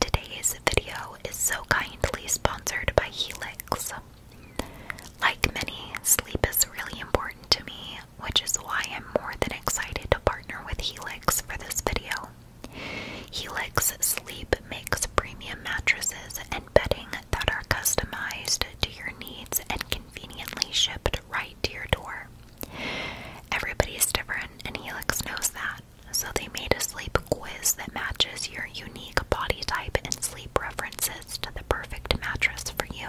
Today's video is so kindly sponsored by Helix. Like many, sleep is really important to me, which is why I'm more than excited to partner with Helix for this video. Helix Sleep makes premium mattresses and bedding that are customized to your needs and conveniently shipped right to your door. Everybody is different, and Helix knows that. So they made a sleep quiz that matches your unique body type and sleep preferences to the perfect mattress for you.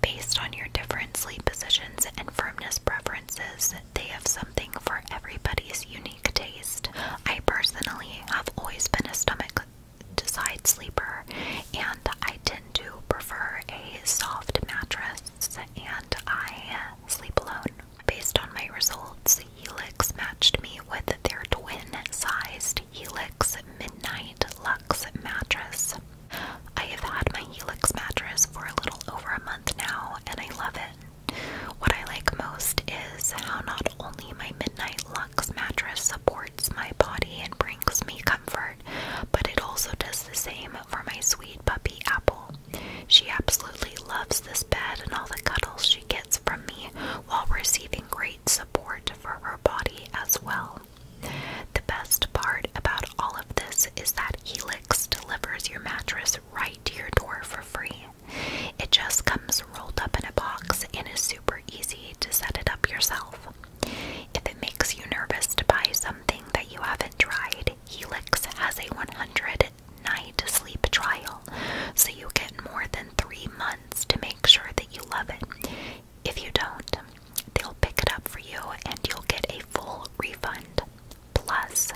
Based on your different sleep positions and firmness preferences, they have something for everybody's unique taste. I personally have always been a stomach to side sleeper, and I tend to prefer a soft mattress. And I Sleep Alone. Based on my results, Helix matched me with their twin-sized Helix Midnight Lux mattress. I have had my Helix mattress for a little over a month now, and I love it. What I like most is how not only my Midnight Lux mattress supports my body and brings me comfort, but it also does the same for my sweet puppy Apple. She absolutely loves this bed and all the cuddles she gets from me while receiving great support for her body as well. The best part about all of this is that Elix delivers your mattress right to your door for free. It just comes rolled up in a box and is super easy to set it up yourself. If it makes you nervous to buy something that you haven't tried, Helix has a 100 night sleep trial, so you get more than three months to make sure that you love it. If you don't, they'll pick it up for you and you'll get a full refund. Plus,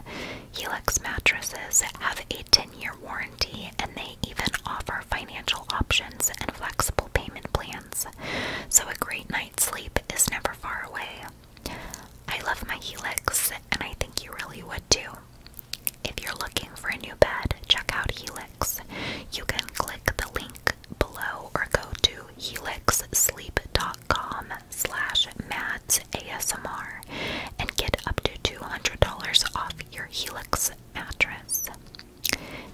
Helix mattresses have a 10 year warranty and they even offer financial options and flexible payment plans. So, a great night's sleep is never far away. I love my Helix, and I think you really would too. If you're looking for a new bed, check out Helix. You can click the link below or go to helixsleep.com slash madsasmr and get up to $200 off your Helix mattress.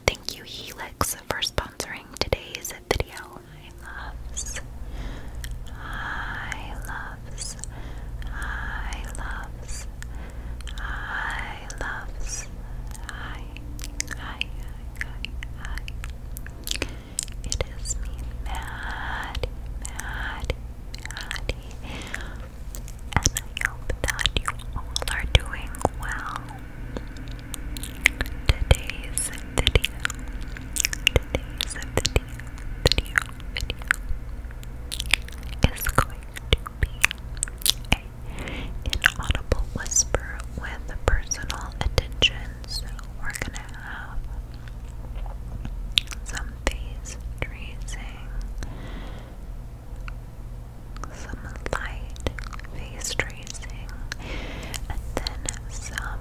Thank you Helix for sponsoring today's this video. loves, I loves, I loves, I loves, I, I, I, I. It is me, mad, Maddie, Maddie, and I hope that you all are doing well. Today's video, today's video video, video is going to be a inaudible whisper with personal attention. So we're gonna have some face tracing, some light face tracing, and then some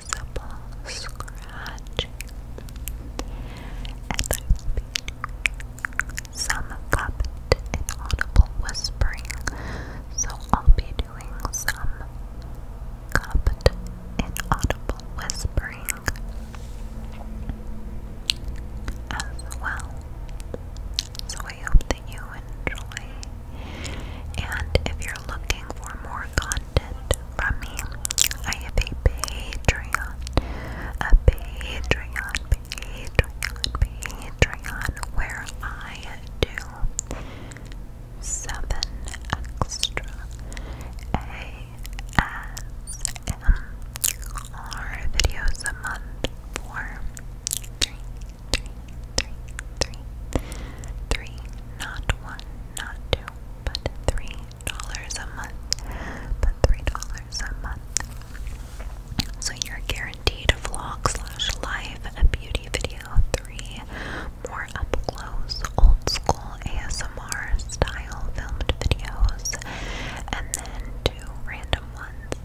noticeable scratching, and some cupped inaudible whispering. So I'll be doing some cupped inaudible whispering as well. So I hope that you enjoy. And if you're looking for more content from me. I have a Patreon, a Patreon, Patreon, Patreon, where I do seven extra ASMR videos a month for not one, not two, but three dollars a month, but three dollars a month. So you're guaranteed a vlog slash live, a beauty video, three more up close, old school ASMR style filmed videos, and then two random ones.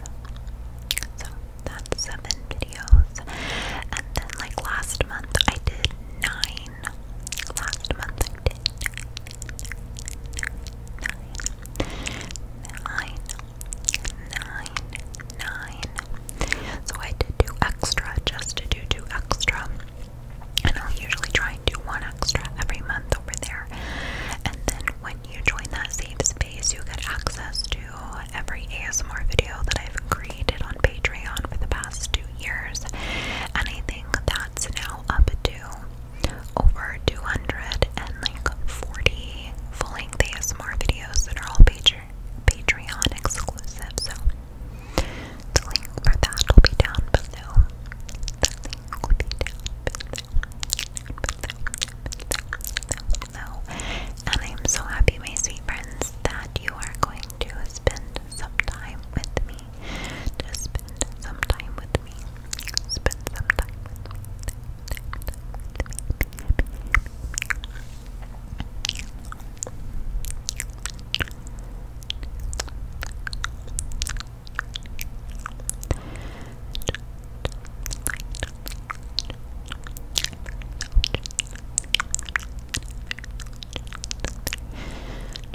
So that's seven videos. And then like last month I did nine Last month I did nine, nine, nine, nine. So I did do extra just to do two extra. And i usually try and do one extra every month over there. And then when you join that safe space, you get access to every ASMR video that I've created on Patreon for the past two years. And that that's now up to over 240 full ASMR videos that are all Patreon exclusive. So the link for that will be down below. And I'm so happy, my sweet friends, that you are going to spend some time with me. Just spend some time with me. Spend some time with me.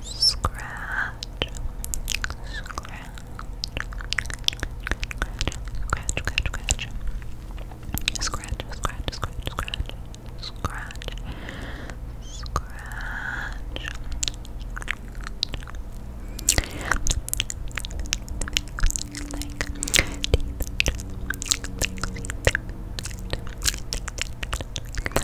Scratch. Scratch. Scratch, scratch, scratch. Scratch, scratch, scratch, scratch. Scratch. Scratch. Like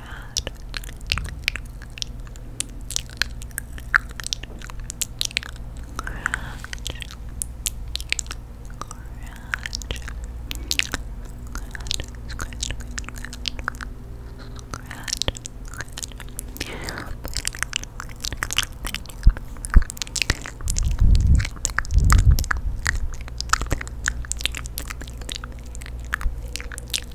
bad. Crunch. Scratch, scratch, scratch, scratch, scratch.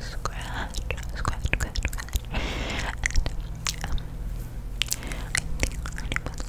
Scratch, scratch, scratch, scratch, and um, I think I already put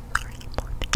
But apart from that,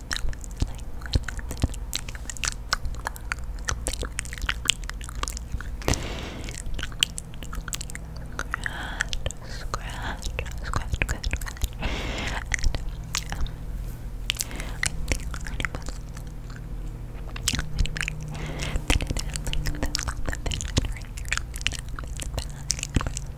scratch, scratch, scratch, scratch. And, um, I think Ernie was anyway, they did it like the, the vision right here in the back.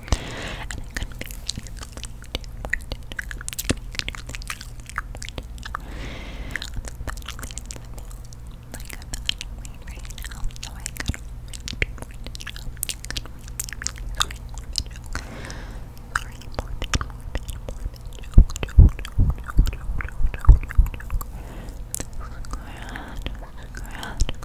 And I couldn't be like I'm not annoyed right now, so I couldn't Sorry, Sorry,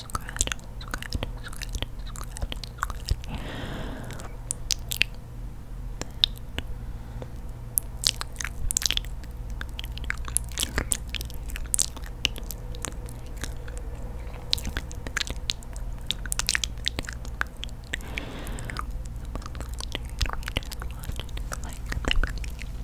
scratch, scratch, scratch, scratch, scratch. Like the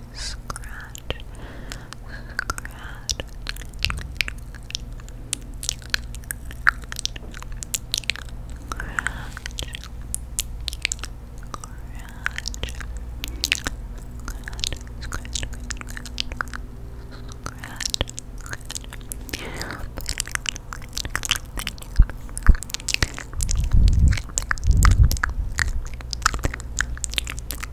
scratch, scratch. Scratch, scratch, scratch, scratch, scratch. Thank you.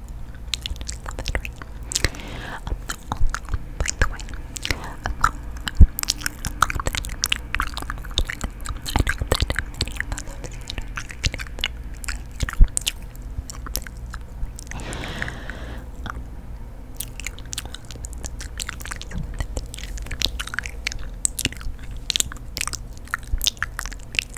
I just love it, right? Um, oh, oh, by the way, um, oh, I know that many of us have seen um, I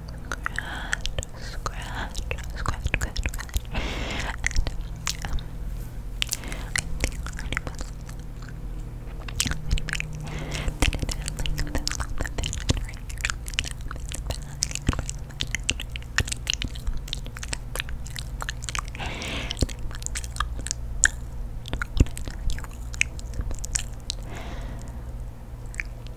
scratch, scratch, scratch, scratch, scratch. I think animals,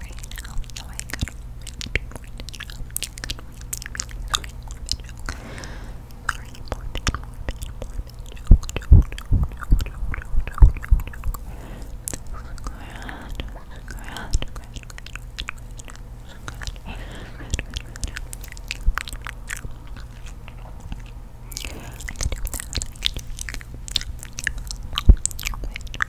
rain right now, so I got Sorry, morbid joke. Sorry, morbid, morbid, morbid joke, joke, joke, joke, joke, joke, joke, joke. Scratch, scratch, scratch, scratch, scratch, I could do that. I could do that. Which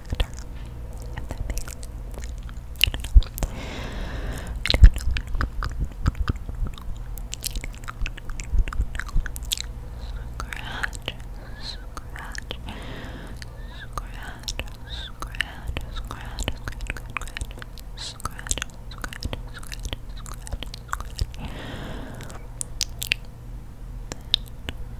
factor. If that makes sense. I don't know. I don't know. Scratch, scratch, scratch, scratch, scratch, scratch, scratch, scratch, scratch, scratch, scratch. Then,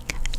Good. Three.